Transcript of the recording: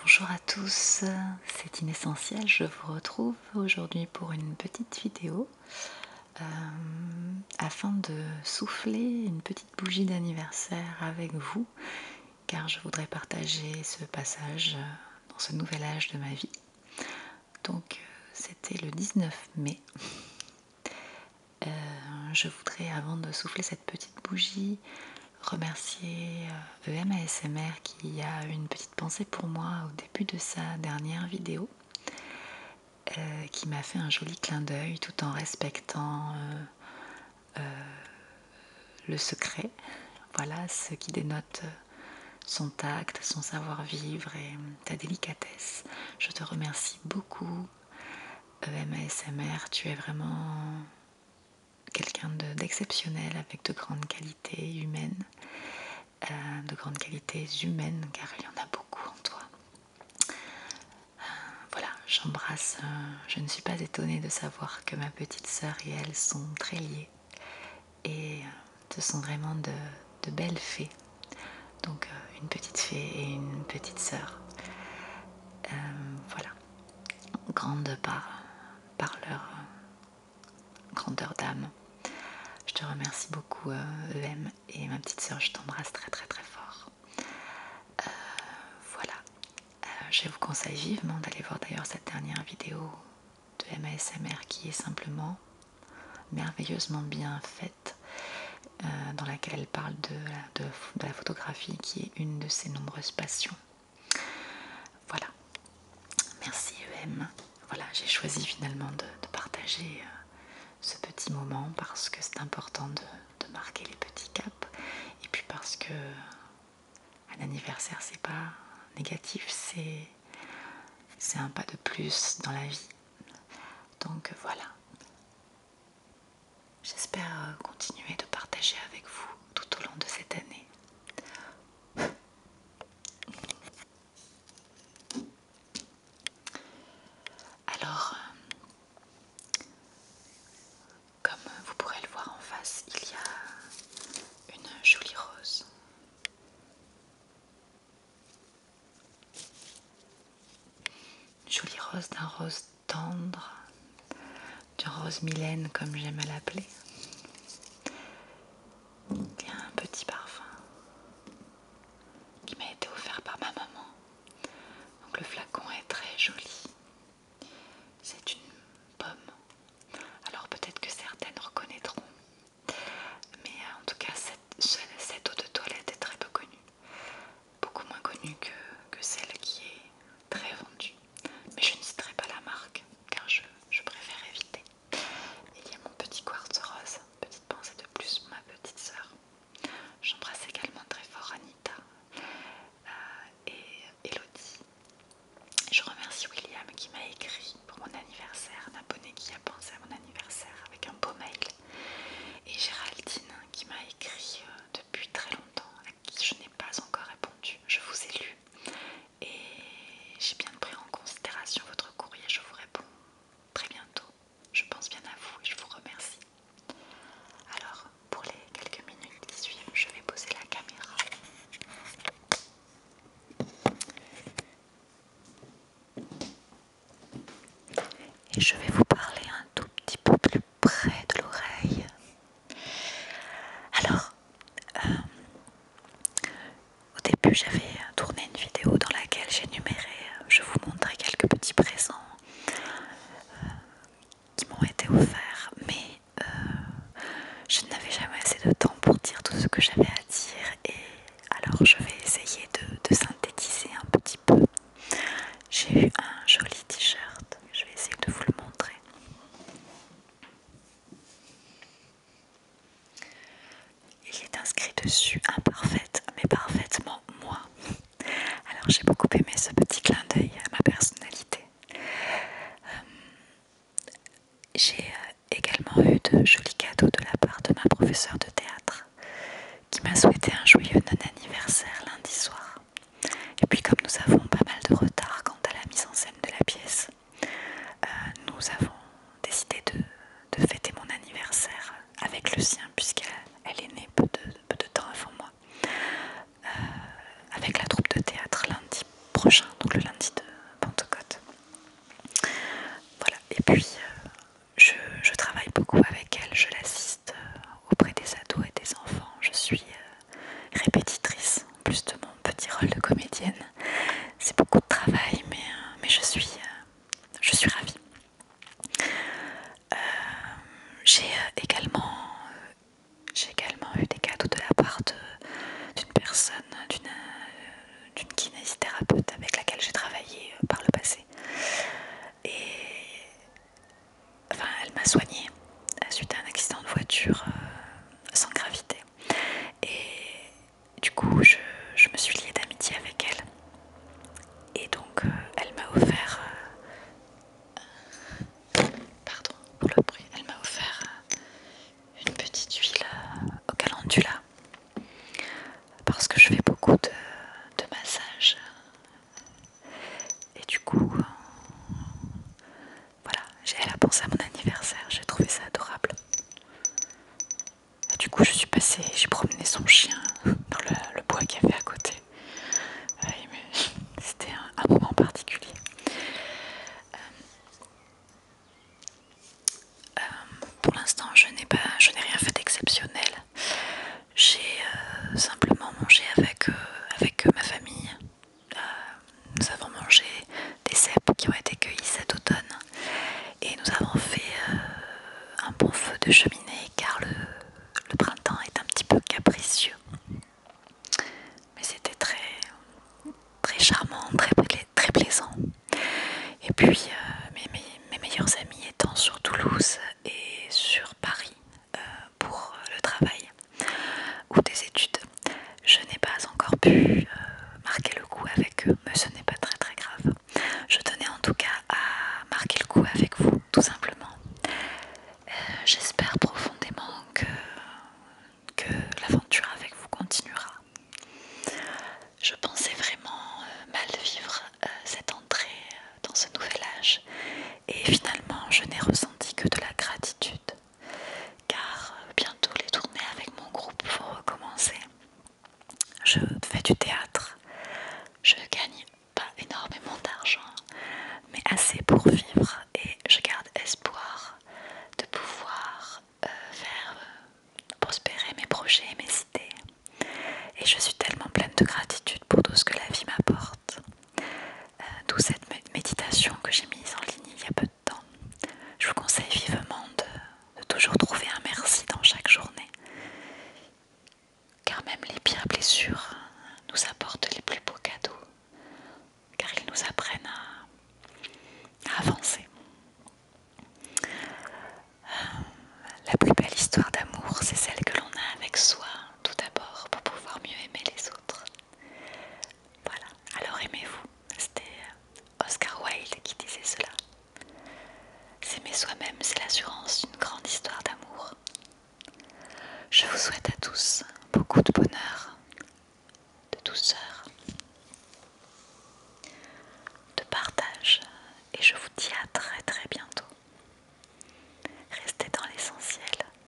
Bonjour à tous, c'est Inessentiel, je vous retrouve aujourd'hui pour une petite vidéo euh, afin de souffler une petite bougie d'anniversaire avec vous car je voudrais partager ce passage dans ce nouvel âge de ma vie. Donc c'était le 19 mai. Euh, je voudrais avant de souffler cette petite bougie remercier EMASMR euh, e qui a une petite pensée pour moi au début de sa dernière vidéo, euh, qui m'a fait un joli clin d'œil tout en respectant euh, le secret. Voilà ce qui dénote son tact, son savoir-vivre et ta délicatesse. Je te remercie beaucoup. EMASMR, tu es vraiment quelqu'un d'exceptionnel avec de grandes qualités humaines, euh, de grandes qualités humaines car il y en a beaucoup en toi. Euh, voilà, j'embrasse, euh, je ne suis pas étonnée de savoir que ma petite sœur et elle sont très liées et ce sont vraiment de, belles fées. Donc une petite fée et une petite sœur. voilà, grande par, par leur euh, grandeur d'âme. Je te remercie beaucoup, euh, EM et ma petite sœur, je t'embrasse très très très fort. Euh, voilà. je vous conseille vivement d'aller voir d'ailleurs cette dernière vidéo de MASMR qui est simplement merveilleusement bien faite, dans laquelle elle parle de, de, la photographie qui est une de ses nombreuses passions. Voilà. Merci EM. Voilà, j'ai choisi finalement de, partager euh, ce petit moment parce que c'est important de, marquer les petits caps et puis parce que un anniversaire c'est pas négatif, c'est un pas de plus dans la vie. Donc voilà. J'espère euh, continuer de partager avec vous tout au long de cette année. Alors, euh, comme vous pourrez le voir en face, il y a une jolie rose. Une jolie rose d'un rose tendre, du rose mylène comme j'aime à l'appeler. Il un petit parfum qui m'a été offert par ma maman. Donc le flacon est très joli. C'est une pomme. Alors peut-être que certaines reconnaîtront. Mais euh, en tout cas, cette eau de toilette est très peu connue beaucoup moins connue que, celle qui est très vendue. Mais je ne citerai pas la marque car je, préfère éviter. Il y a mon petit quartz rose, petite pensée de plus, ma petite sœur. J'embrasse également très fort Anita euh, et Elodie. Je remercie William qui m'a écrit pour mon anniversaire, un abonné qui a pensé à mon anniversaire avec un beau mail. Et Géraldine qui m'a écrit euh, depuis très longtemps, à qui je n'ai pas encore répondu. Je vous ai lu et j'ai bien pris en considération votre courrier. Je vous réponds très bientôt. Je pense bien à vous et je vous remercie. Alors, pour les quelques minutes qui suivent, je vais poser la caméra. Et je vais vous parler un tout petit peu plus près de l'oreille. Alors, euh, au début, j'avais tourné une vidéo dans laquelle j'énumérais, je vous montrais quelques petits présents euh, qui m'ont été offerts, mais euh, je n'avais jamais assez de temps pour dire tout ce que j'avais à dire, et alors je vais essayer de synthétiser un petit peu. J'ai eu un joli t-shirt, je vais essayer de vous le montrer. Il est inscrit dessus imparfaite, mais parfaitement moi. Alors j'ai beaucoup aimé ce petit clin d'œil à ma personnalité. Euh, j'ai euh, également eu de jolis cadeaux de la part de ma professeure de théâtre qui m'a souhaité un joyeux non-anniversaire lundi soir. Et puis comme nous avons pas mal de retard quant à la mise en scène de la pièce, euh, nous avons décidé de, fêter mon anniversaire avec le sien puisqu'elle est née peu de, temps avant moi, euh, avec la troupe de théâtre lundi prochain, donc le lundi de Pentecôte. Voilà, et puis euh, je, travaille beaucoup avec elle, je l'assiste auprès des ados et des enfants, je suis répétitrice, en plus de mon petit rôle de comédienne. C'est beaucoup de travail, mais, euh, euh, je, suis, ravie. Euh, j'ai également, eu des cadeaux de la part d'une personne, d'une kinésithérapeute avec laquelle j'ai travaillé par le passé. Enfin, elle m'a soignée euh, suite à un accident de voiture euh, sans gravité. Et du coup, je, me suis liée d'amitié avec elle. Et donc, euh, elle m'a offert. pardon pour le bruit. Elle m'a offert une petite huile au calendula. Parce que je fais beaucoup de massages et du coup, euh, voilà, elle a pensé à mon anniversaire, j'ai trouvé ça adorable. Et du coup, je suis passée, j'ai promené son chien dans le, bois qu'il y avait à côté. C'était un, moment particulier. Euh, euh, pour l'instant, je n'ai pas, je n'ai rien fait d'exceptionnel. J'ai simplement mangé avec ma famille euh, nous avons mangé des cèpes qui ont été cueillis cet automne et nous avons fait euh, un bon feu de cheminée car le, printemps est un petit peu capricieux. Mais c'était très, très charmant, très, très plaisant. Et puis euh, mes meilleurs amis étant sur Toulouse et sur Paris, euh, pour euh, le travail ou des études. Je n'ai pas encore pu euh, marquer le coup avec eux, mais ce n'est pas très très grave. Je tenais en tout cas à marquer le coup avec vous, tout simplement. J'espère profondément que, que l'aventure avec vous continuera. Je pensais vraiment mal vivre cette entrée dans ce nouvel âge et finalement je n'ai ressenti que de la gratitude car euh, bientôt les tournées avec mon groupe vont recommencer. Je fais du théâtre, je gagne pas énormément d'argent, mais assez pour vivre et je garde espoir de pouvoir euh, faire euh, prospérer mes projets et mes idées. Et je suis tellement pleine de gratitude pour tout ce que la vie m'apporte. Euh, d'où cette méditation que j'ai mise en ligne il y a peu de temps. Je vous conseille vivement de, toujours trouver un merci dans chaque journée, car même les pires blessures hein, nous apportent les plus beaux cadeaux, car ils nous apprennent à avancer. Euh, la plus belle histoire d'amour, c'est celle que l'on a avec soi, tout d'abord, pour pouvoir mieux aimer les autres. Voilà, alors aimez-vous. C'était euh, Oscar Wilde qui disait cela. S'aimer soi-même, c'est l'assurance d'une grande histoire d'amour. Je vous souhaite à tous beaucoup de bonheur, de douceur, de partage et je vous dis à très très bientôt. Restez dans l'essentiel